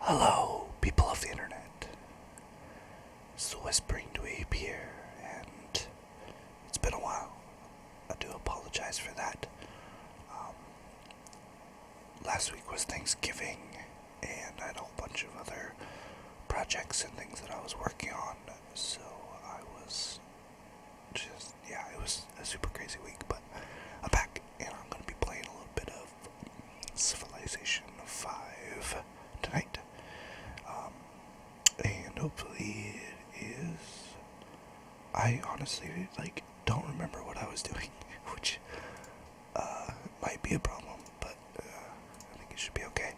Hello, people of the internet. It's the Whispering Dweeb here, and it's been a while. I do apologize for that. Um, last week was Thanksgiving, and I had a whole bunch of other projects and things that I was working on. So I was just, yeah, it was a super crazy week, but I'm back and I'm going to be playing a little bit of Civilization 5 tonight. Um, and hopefully it is. I honestly, like, don't remember what I was doing, which uh, might be a problem, but uh, I think it should be okay.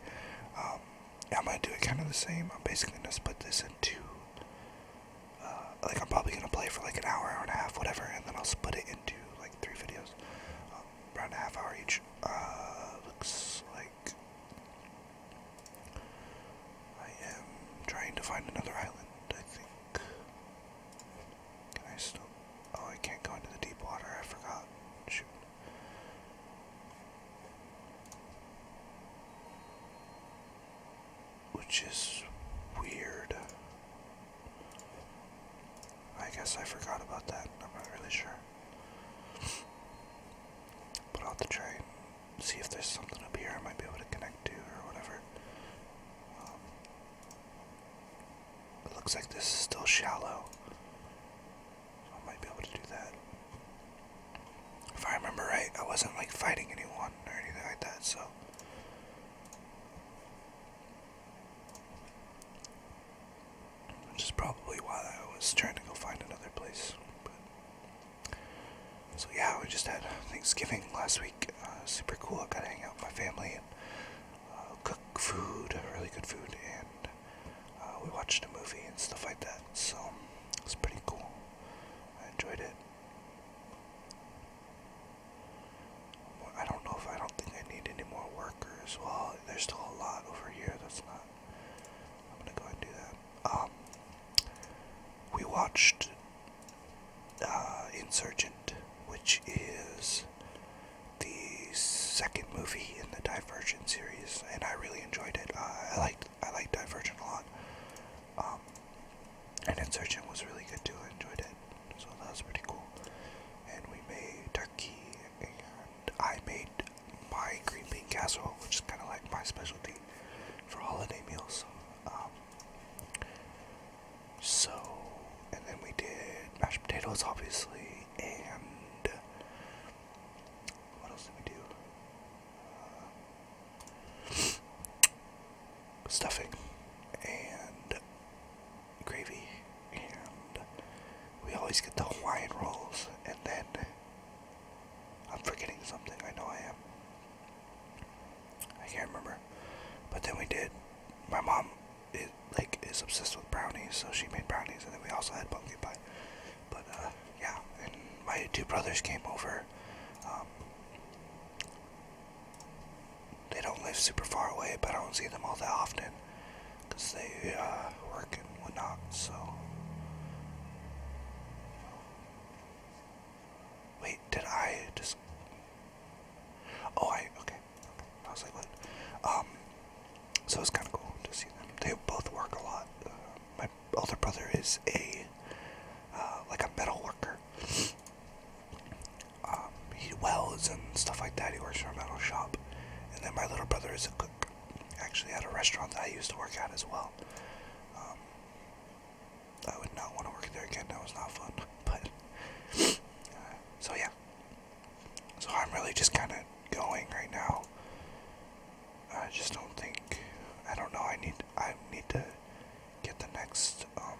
Um, I'm gonna do it kind of the same. I'm basically gonna split this into, uh, like I'm probably gonna play for like an hour, hour and a half, whatever, and then I'll split it into like three videos, um, around a half hour each. Uh, looks like I am trying to find another island. I think. Can I still? Oh, I can't go into the deep water. I forgot. Shoot. Which is weird. I guess I forgot about that. I'm not really sure. But I'll have see if there's something up here I might be able to connect to or whatever. Um, it looks like this is still shallow. I might be able to do that. If I remember right, I wasn't like fighting anyone or anything like that, so. Which is probably why I was trying to go find another place. But. So yeah, we just had Thanksgiving last week. Uh, super cool. I got to hang out with my family cook food, uh, really good food, and uh, we watched a movie and stuff like that. So it was pretty cool. I enjoyed it. I don't know if I don't think I need any more workers. Well, there's still a lot over here. That's not. I'm gonna go and do that. Um, we watched uh, Insurgent, which is the second movie in the Divergent series, and I really enjoyed it. Uh, I liked I liked Divergent a lot, um, and Insurgent was really good too. I enjoyed it, so that was pretty cool. And we made turkey, and I made my green bean casserole, which is kind of like my specialty for holiday meals. Um, so, and then we did mashed potatoes, obviously, and what else did we do? Uh, stuffing and gravy, and we always get the Hawaiian rolls, and then I'm forgetting something. I know I am. I can't remember. But then we did. My mom it, like is obsessed with brownies, so she made brownies, and then we also had pumpkin pie. But uh, yeah, and my two brothers came over. Um, they don't live super far away, but I don't see them all that often because they uh, work and whatnot. So wait, did I just? Oh, I okay. I was like, what? Um, so it was kind of cool to see them. They both work a lot. Uh, my older brother is a uh, like a metal worker. Um, he welds and stuff like that. He works for a metal shop. And then my little brother is a cook, actually at a restaurant that I used to work at as well. Um, I would not want to work there again. That was not fun. But uh, so yeah, so I'm really just kind of going right now. I just don't think. I don't know. I need. I need to get the next um,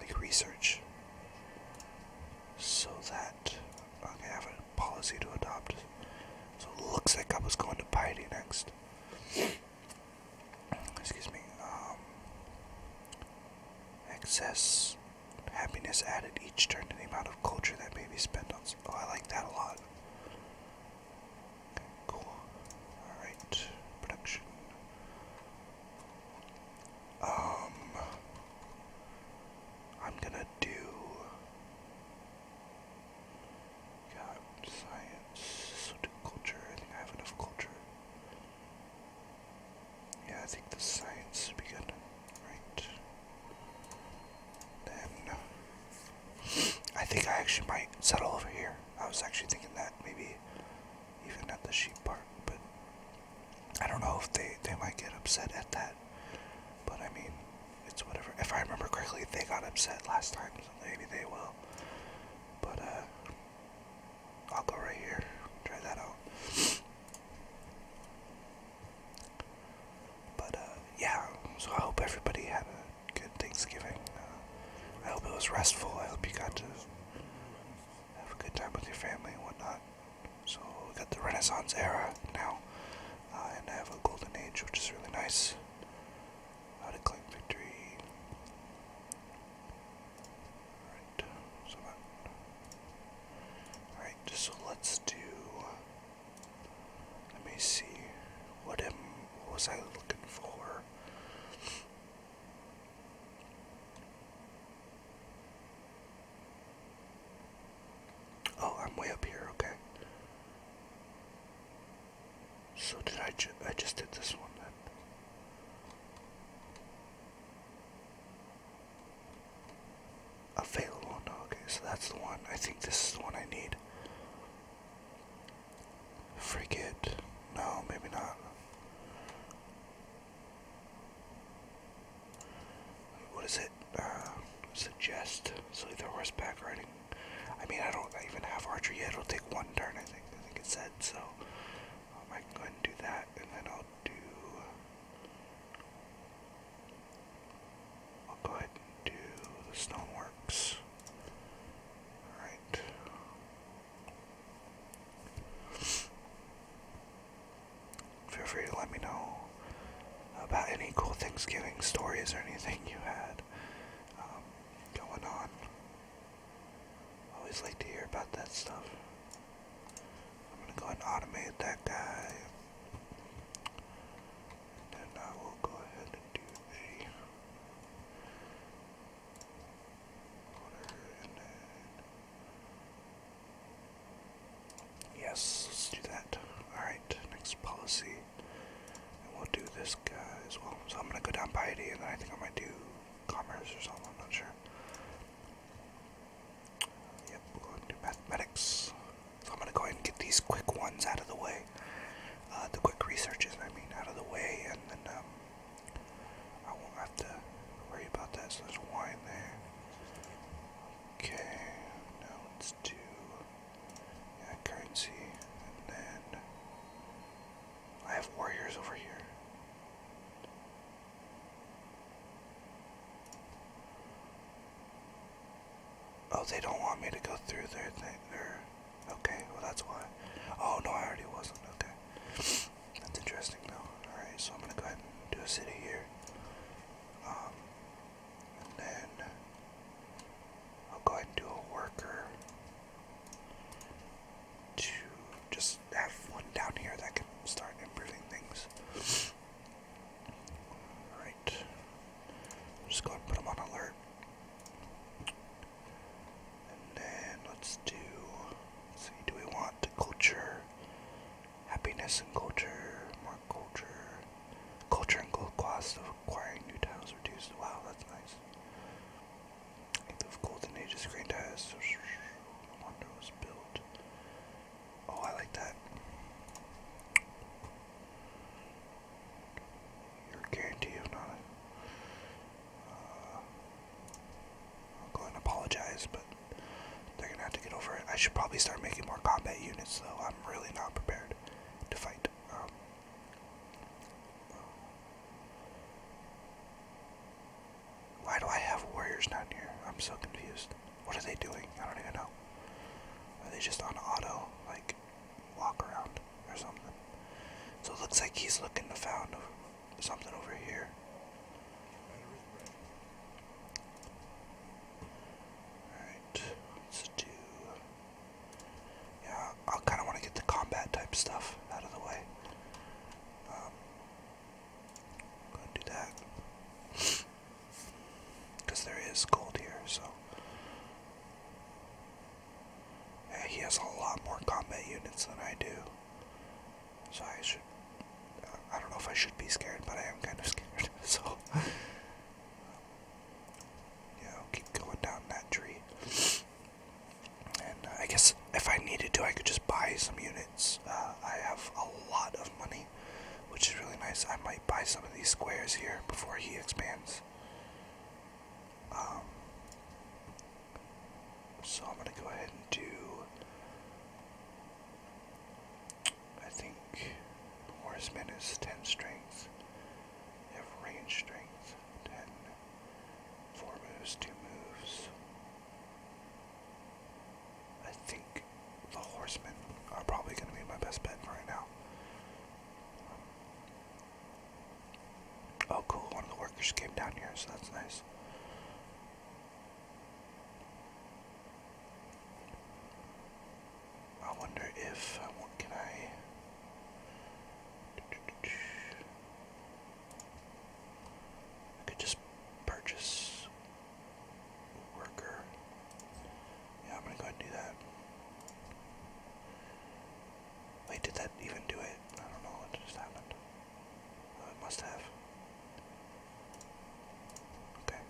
like research, so that okay, I have a policy to adopt. So looks like I was going to piety next. Excuse me. Um, Happiness added each turn to the amount of culture that may be spent on. Oh, I like that a lot. cool. Alright, production. Um, I'm gonna do. Got science, so do culture. I think I have enough culture. Yeah, I think the science should be good. Right. Then I think I actually might settle over here. I was actually thinking that maybe even at the sheep park, but I don't know if they, they might get upset at that. But I mean, it's whatever. If I remember correctly, they got upset last time, so maybe they will. But uh I'll go right here. Try that out. But uh, yeah, so I hope everybody had a good Thanksgiving. Uh, I hope it was restful. I hope you got to have a good time with your family and whatnot. So we got the Renaissance era now, uh, and I have a golden age, which is really nice. How to claim victory. Alright, so Alright, so let's do. Let me see. What, am, what was I looking for? Oh, I'm way up here, okay. So did I I just did this one then. Available. okay, so that's the one. I think this is the one I need. Frigate. No, maybe not. What is it? Uh, suggest. So either horseback riding. I mean, I don't even have archery yet. It'll take one turn, I think. I think it said so. Um, I can go ahead and do that, and then I'll do. I'll go ahead do the stoneworks. Alright. Feel free to let me know about any cool Thanksgiving stories or anything you had um, going on. Always like to hear about that stuff. I'm gonna go and automate that guy. And then I will go ahead and do a Yes, let's do that. Alright, next policy. And we'll do this guy as well. So I'm gonna go down piety and then I think I am gonna do commerce or something, I'm not sure. Yep, going to mathematics. So I'm going to go ahead and get these quick ones out of the way. Uh, the quick researches, I mean, out of the way, and then um, I won't have to worry about that. So there's wine there. Okay, now let's yeah, currency, and then I have warriors over here. Oh, they don't want me to go through their thing. okay, well, that's why. Oh, no, I already wasn't. Okay. That's interesting, though. Alright, so I'm gonna go ahead and do a city here. Um, and then I'll go ahead and do a worker to just have one down here that can start improving things. Alright. Just go and put them on alert. And then let's do. Let's see, do we want culture? Happiness and culture. More culture. Culture and gold cost of acquiring new tiles reduced. Wow, that's nice the golden age of screen Wonder was built. Oh, I like that. Your guarantee of not. I'll go and apologize, but they're gonna have to get over it. I should probably start making more combat units, though. I'm really not prepared to fight. Um, why do I have warriors down here? I'm so confused. What are they doing? I don't even know. Are they just on auto, like, walk around or something? So it looks like he's looking to found something over here. Alright, let's do... Yeah, I kind of want to get the combat type stuff out of the way. Um, Gonna do that. Because there is gold here, so. he has a lot more combat units than I do. So I should. I don't know if I should be scared, but I am kind of scared, so. Yeah, keep going down that tree. And uh, I guess if I needed to, I could just buy some units. Uh, I have a lot of money, which is really nice. I might buy some of these squares here before he expands. Um, so I'm going to go ahead and do. I think horseman is 10 strength. have range strength, 10. 4 moves, 2 moves. I think the horsemen are probably going to be my best bet right now. Oh, cool. One of the workers came down here, so that's nice. I wonder if. Uh, what can I. I could just purchase worker. Yeah, I'm gonna go ahead and do that. Wait, did that even do it? I don't know what just happened. Oh, must have. Okay.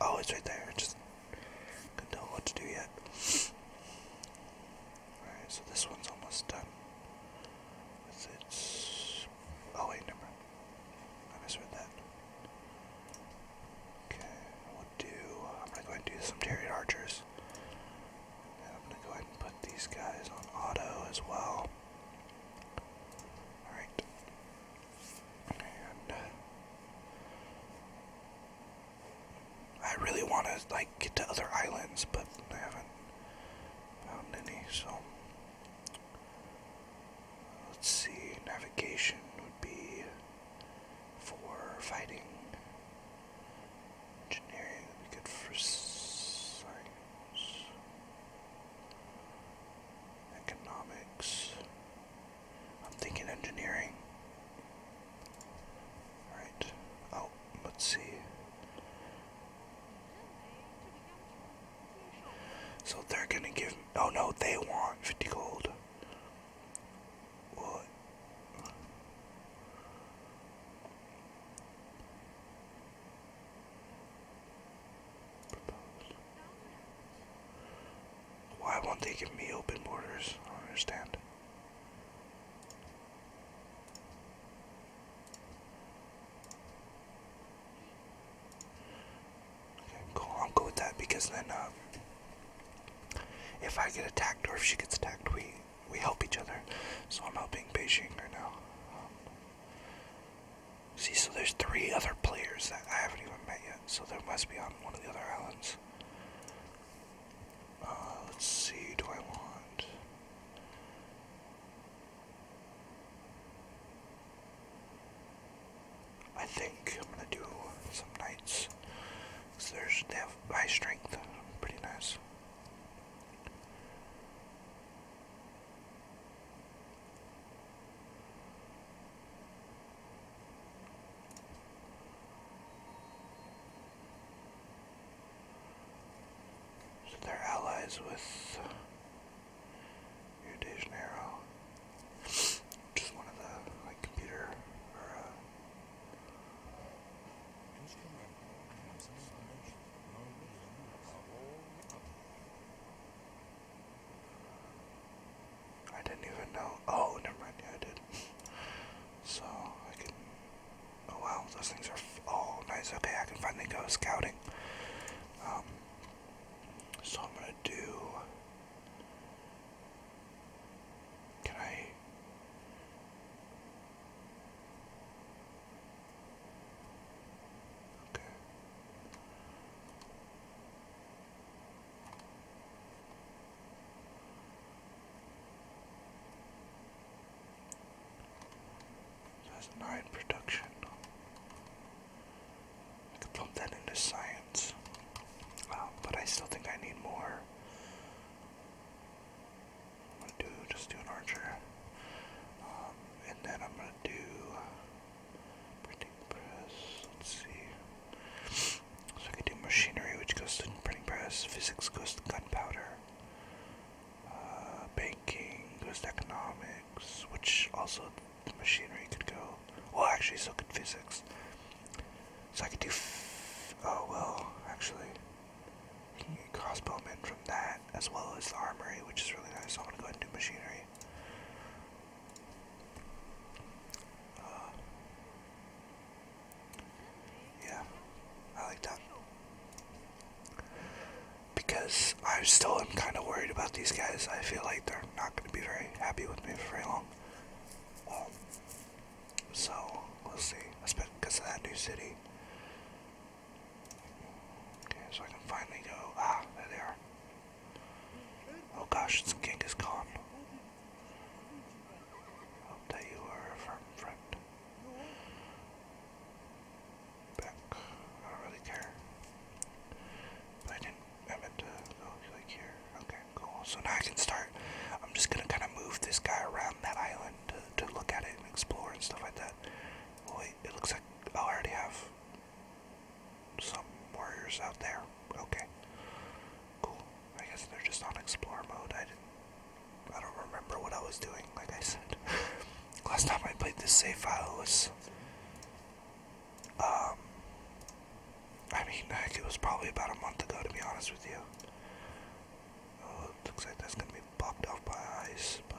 Oh, it's right there. just couldn't tell what to do yet. Alright, so this one's almost done with its Oh wait, never I misread that. Okay, we'll do. I'm gonna go ahead and do some Terrier Archers. I'm gonna go ahead and put these guys on auto as well. Alright. Uh, I really want to like get to other islands, but I haven't found any, so let's see, navigation would be for fighting. Engineering would be good for science. Economics. I'm thinking engineering. Alright. Oh, let's see. So they're gonna give me, oh no, they want 50 gold. What? Why won't they give me open borders? I don't understand. Okay, cool. I'll go with that because then, um, if I get attacked or if she gets attacked, we we help each other. So I'm helping Beijing right now. Um, see, so there's three other players that I haven't even met yet. So there must be on one of the other islands. Uh, let's see. Do I want? I think I'm gonna do some nights. Cause there's they have high strength, pretty nice. So they're allies with Rio Just one of the computer uh, I didn't even know. Oh, never mind. Yeah, I did. So I can Oh wow, those things are. Oh, nice. Okay, I can finally go scouting. Um, so I'm gonna do. Can Okay. That's nine production. I can plump that into science. but I still think I need more. I'm gonna do just do an archer. Um, and then I'm gonna do printing press. Let's see. So I can do machinery, which goes to printing press. Physics goes to gunpowder. Uh, banking, goes economics, which also machinery could go. Well, actually, so could physics. So I could do. F oh well, actually, crossbowmen from that as well as the armory, which is really nice. So I'm gonna go and do machinery. Uh, yeah, I like that. Because I still am kind of worried about these guys. I feel like they're not going to be very happy with me for very long. Um, so, we'll see. Especially because of that new city. Okay, so I can finally go. Ah, there they are. Oh gosh, it's Genghis Khan. Hope that you are a firm friend back. I don't really care. But I didn't. I go oh, like here. Okay, cool. So now I can start. I'm just gonna kind of move this guy around that island to, look at it and explore and stuff like that. wait, it looks like oh, I already have some warriors out there. Okay, cool. I guess they're just on explore mode. I didn't I don't remember what I was doing, like I said. Last time I played this save file was. Um, I mean, heck, it was probably about a month ago, to be honest with you. Oh, looks like that's gonna be blocked off by ice, but.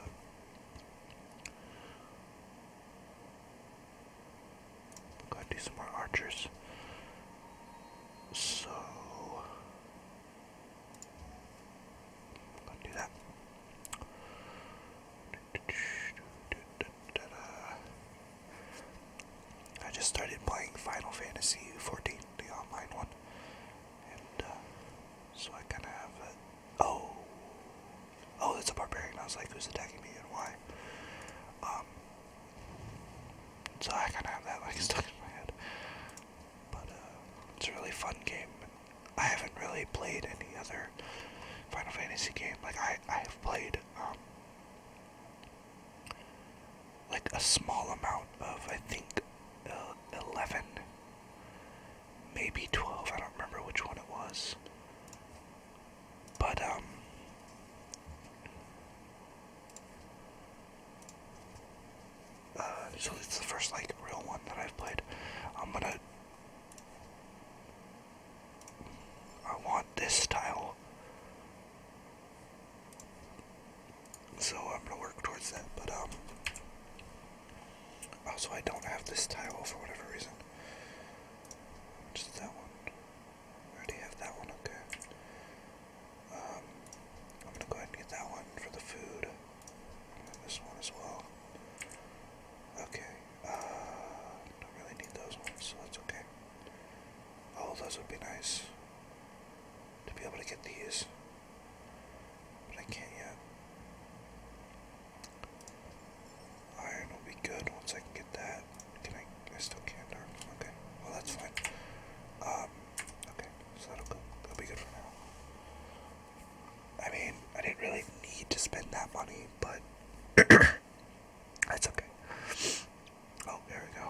got do some more archers. So do that. I just started playing Final Fantasy XIV, the online one, uh, so I kind of have Oh, oh, that's a barbarian. I was like, who's attacking me and why? Um, so I kind of have that like stuck in my head. But uh, it's a really fun game. I haven't really played any other Final Fantasy game. Like I, I have played um, like a small amount of I think uh, eleven, maybe twelve. I don't remember which one it was. But um, uh, so it's the first like real one that I've played. I'm gonna. I want this tile. So I'm gonna work towards that, but um. Also, I don't have this tile for whatever reason. Just that one. already have that one, okay. Um, I'm gonna go ahead and get that one for the food this one as well. Okay. Uh, don't really need those ones, so that's okay. Oh, those would be nice to be able to get these, but I can't yet. Iron will be good once I can get that. Can I? I still can't. Okay. Well, that's fine. Um, okay. that'll go. That'll be good for now. I mean, I didn't really need to spend that money, but that's okay. Oh, there we go.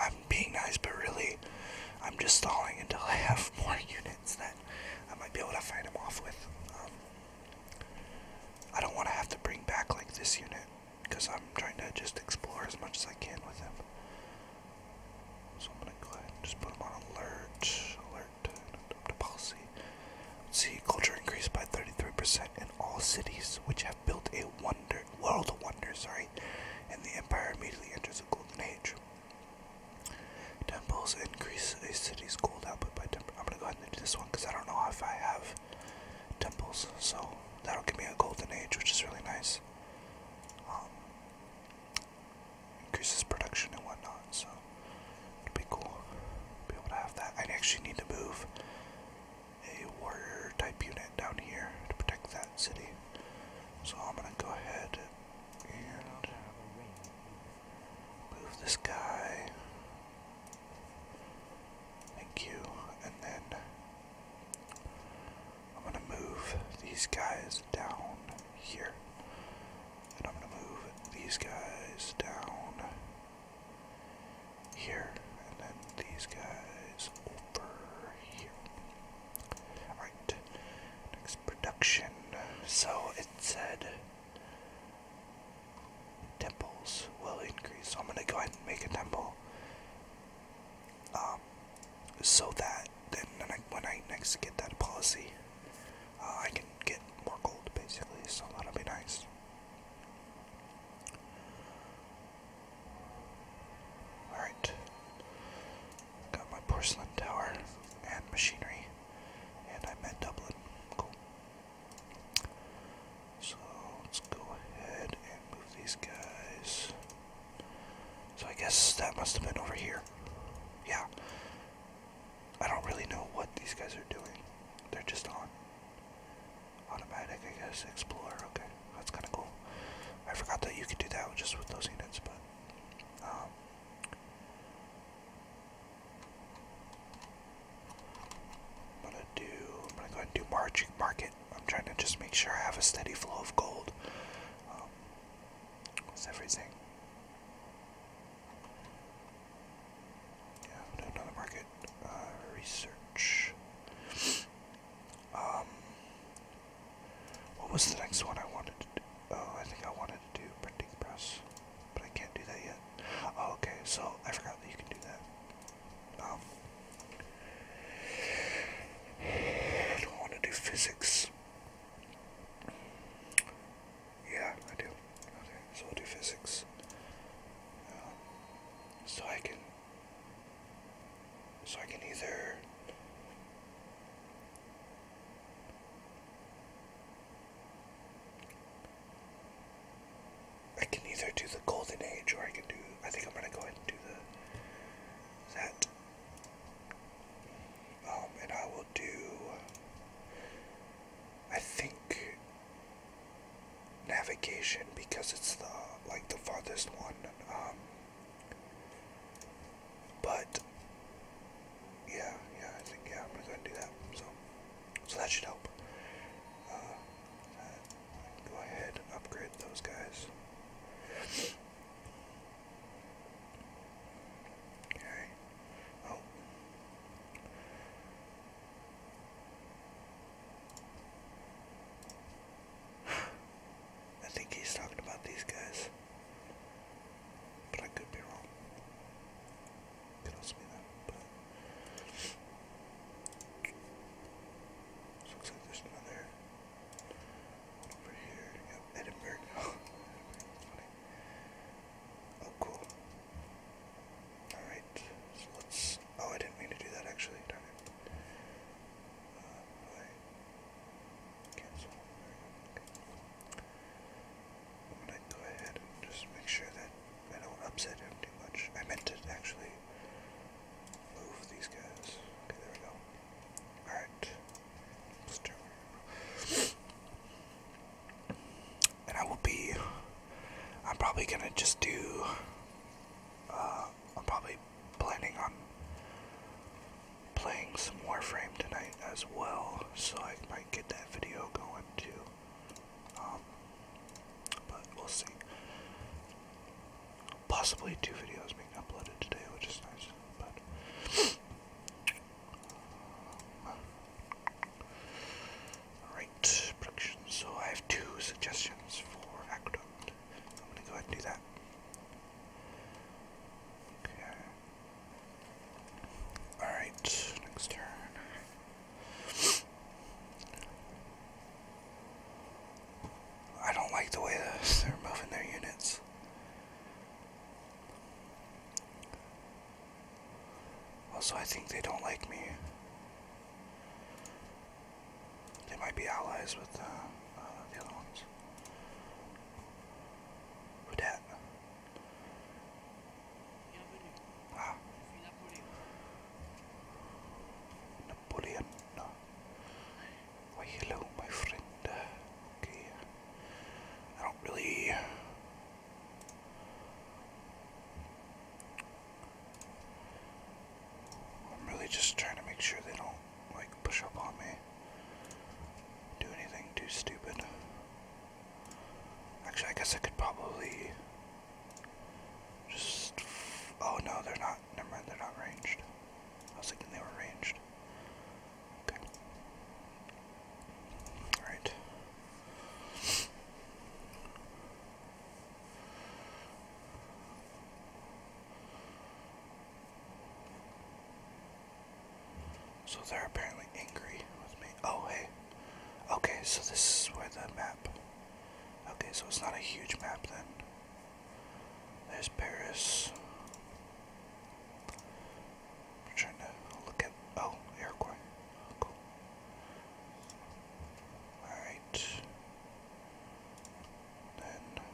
I'm being nice, but really, I'm just stalling until I have more units that I might be able to fight him off with. Um, I don't want to have to bring back like this unit because I'm trying to just explore as much as I can with them, So I'm gonna go ahead and just put them on alert, alert, to policy. Let's see, culture increased by 33% in all cities, which have built a wonder, world of wonder, sorry, and the empire immediately enters a golden age. Temples increase a city's gold output by 10%. i am gonna go ahead and do this one because I don't know if I have temples. So that'll give me a golden age, which is really nice. Um, increases production and whatnot, so it'll be cool. Be able to have that. I actually need to move a warrior type unit down here to protect that city. So I'm gonna go ahead and move this guy Thank you. And then I'm going to move these guys down here. And I'm going to move these guys down here. And then these guys over here. Alright. Next production. So it said temples will increase. So I'm gonna go ahead and make a temple. Um, so that then when I, next get that policy, uh, I can get more gold basically. So that'll be nice. Alright. Got my porcelain tower and machinery. And I met Dublin. Cool. So let's go ahead and move these guys. So I guess that must have been over here. Yeah. I don't really know what these guys are doing. They're just on. Automatic, I guess. Explorer, okay. That's kind of cool. I forgot that you could do that just with those units, but. Um, I'm gonna do. I'm gonna go ahead and do margin market. I'm trying to just make sure I have a steady flow of gold. Um, everything. Yeah, do another market uh, research. Um, what was the next one I wanted to do? Oh, I think I wanted to printing press, but I can't do that yet. Oh, okay, so I forgot that you can do that. Um, I don't want to do physics. Yeah, I do. Okay, so do physics. Um, so I can. So I can either. I can either do the golden age or I can do I think I'm gonna go ahead and do the that um and I will do I think navigation because it's the like the farthest one um but yeah yeah I think yeah I'm gonna do that so so that should help. Uh, go ahead, upgrade those guys. Okay. Oh. I think he's talking about these guys. But I could be wrong. Could also looks like there's another over here. Yep, Edinburgh. Oh, cool. All right, so let's. Oh, I didn't mean to do that actually. Darn Cancel. There we go ahead and just make sure that I don't upset him too much. I meant to actually move these guys. Alright. let And I will be. I'm probably gonna just do. Uh, I'm probably planning on playing some Warframe tonight as well, so I might get that video going too. Um, but we'll see. Possibly two videos being uploaded today, which is nice. But um, So I have two suggestions for Aqueduct. I'm gonna go ahead and do that. Okay. Alright, next turn. I don't like the way they're moving their units. Also, I think they don't like me. They might be allies with uh, uh, the other ones. Who Ah. Napoleon. No. Why hello, my friend. Uh, okay. I don't really. I'm really just trying to make sure they don't like push up on me. Do anything too stupid. Actually, I guess I could probably just. Oh no, they're not. Never mind, they're not ranged. I was thinking they were ranged. Okay. Alright. So they're apparently angry with me. Oh, hey. Okay, so this is where the map Okay, so it's not a huge map then. There's Paris. I'm trying to look at. Oh, Iroquois. Alright. Then.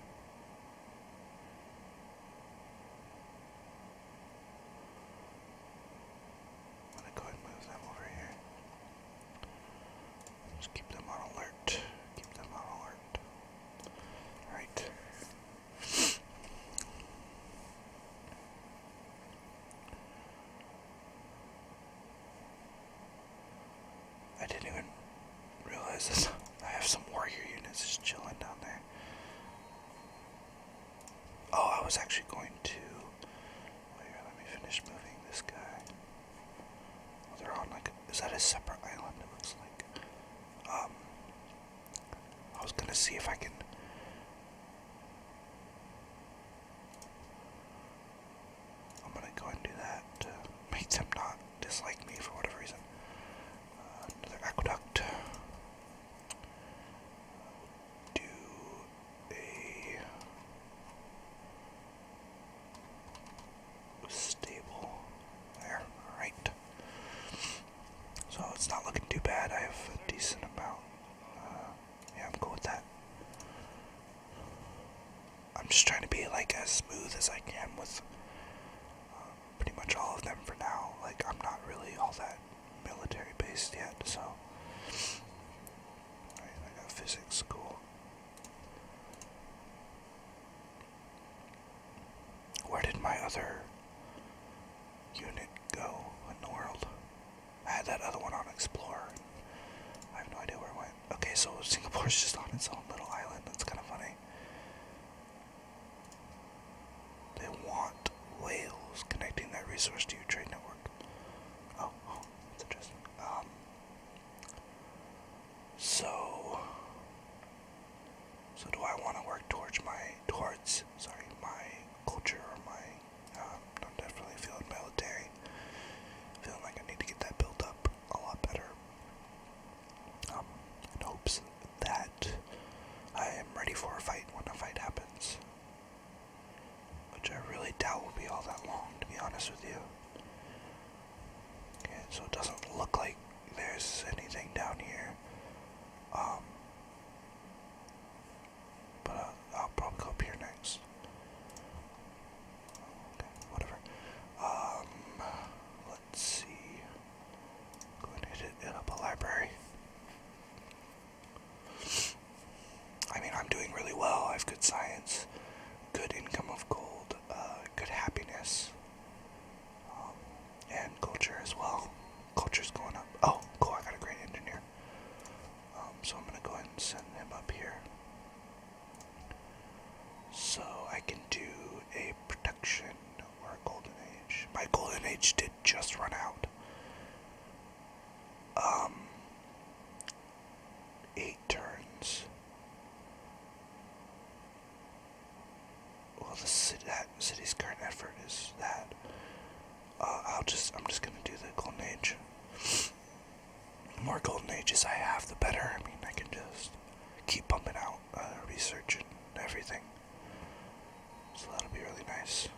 I'm go ahead and move over here. Just keep them on alert. Keep them on alert. Alright. I didn't even realize this. I have some warrior units just chilling down there. Oh, I was actually going to let me finish moving this guy. Oh, they're on like, is that a separate island? It looks like. Um, I was gonna see if I can. I'm gonna go and do that to make not dislike me for whatever reason. Uh, another aqueduct do a stable there. All right. So it's not looking too bad. I have a decent amount. Uh, yeah, I'm cool with that. I'm just trying to be like as smooth as I can with uh, pretty much all of them for now. Like I'm not really all that military based yet, so I got physics, cool. Where did my other unit go in the world? I had that other one on Explorer. I have no idea where it went. Okay, so Singapore's just on its own little island. That's kind of funny. They want whales connecting that resource to your trade network. oh, oh so, so do I want to work towards my towards sorry my culture or my? Um, I'm definitely feeling military. Feeling like I need to get that built up a lot better. Um, in hopes that I am ready for a fight when a fight happens. Which I really doubt will be all that long, to be honest with you. Okay, so it doesn't look like there's anything down here. Um, but uh, I'll probably go up here next. Okay, whatever. Um, let's see. Go and hit it, hit a library. I mean, I'm doing really well. I have good science, good income of gold, uh, good happiness, um, and culture as well. Culture's going up. Oh, cool! I got a great engineer. Um, so I'm gonna go ahead and send him up here. So I can do a production or a golden age. My golden age did just run out um, eight turns. Well, the city's current effort is that. Uh, I'll just, I'm just gonna do the Golden Age. The more Golden Ages I have, the better. I mean, I can just keep pumping out uh, research and everything. So that'll be really nice.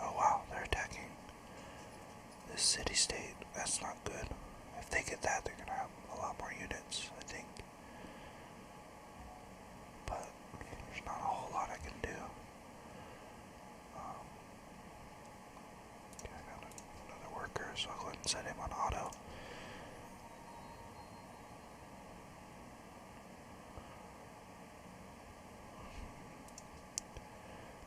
Oh wow, they're attacking this city state. That's not good. If they get that, they're gonna have a lot more units, I think. But there's not a whole lot I can do. Um, I got another worker, so I'll go ahead set him on auto.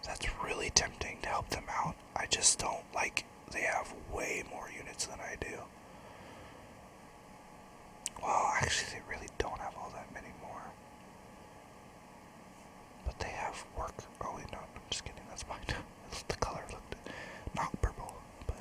That's really tempting to help them out. I just don't like they have way more units than I do. Well, actually, they really don't have all that many more. But they have work. Oh, wait, no, I'm just kidding. That's mine. the color looked not purple, but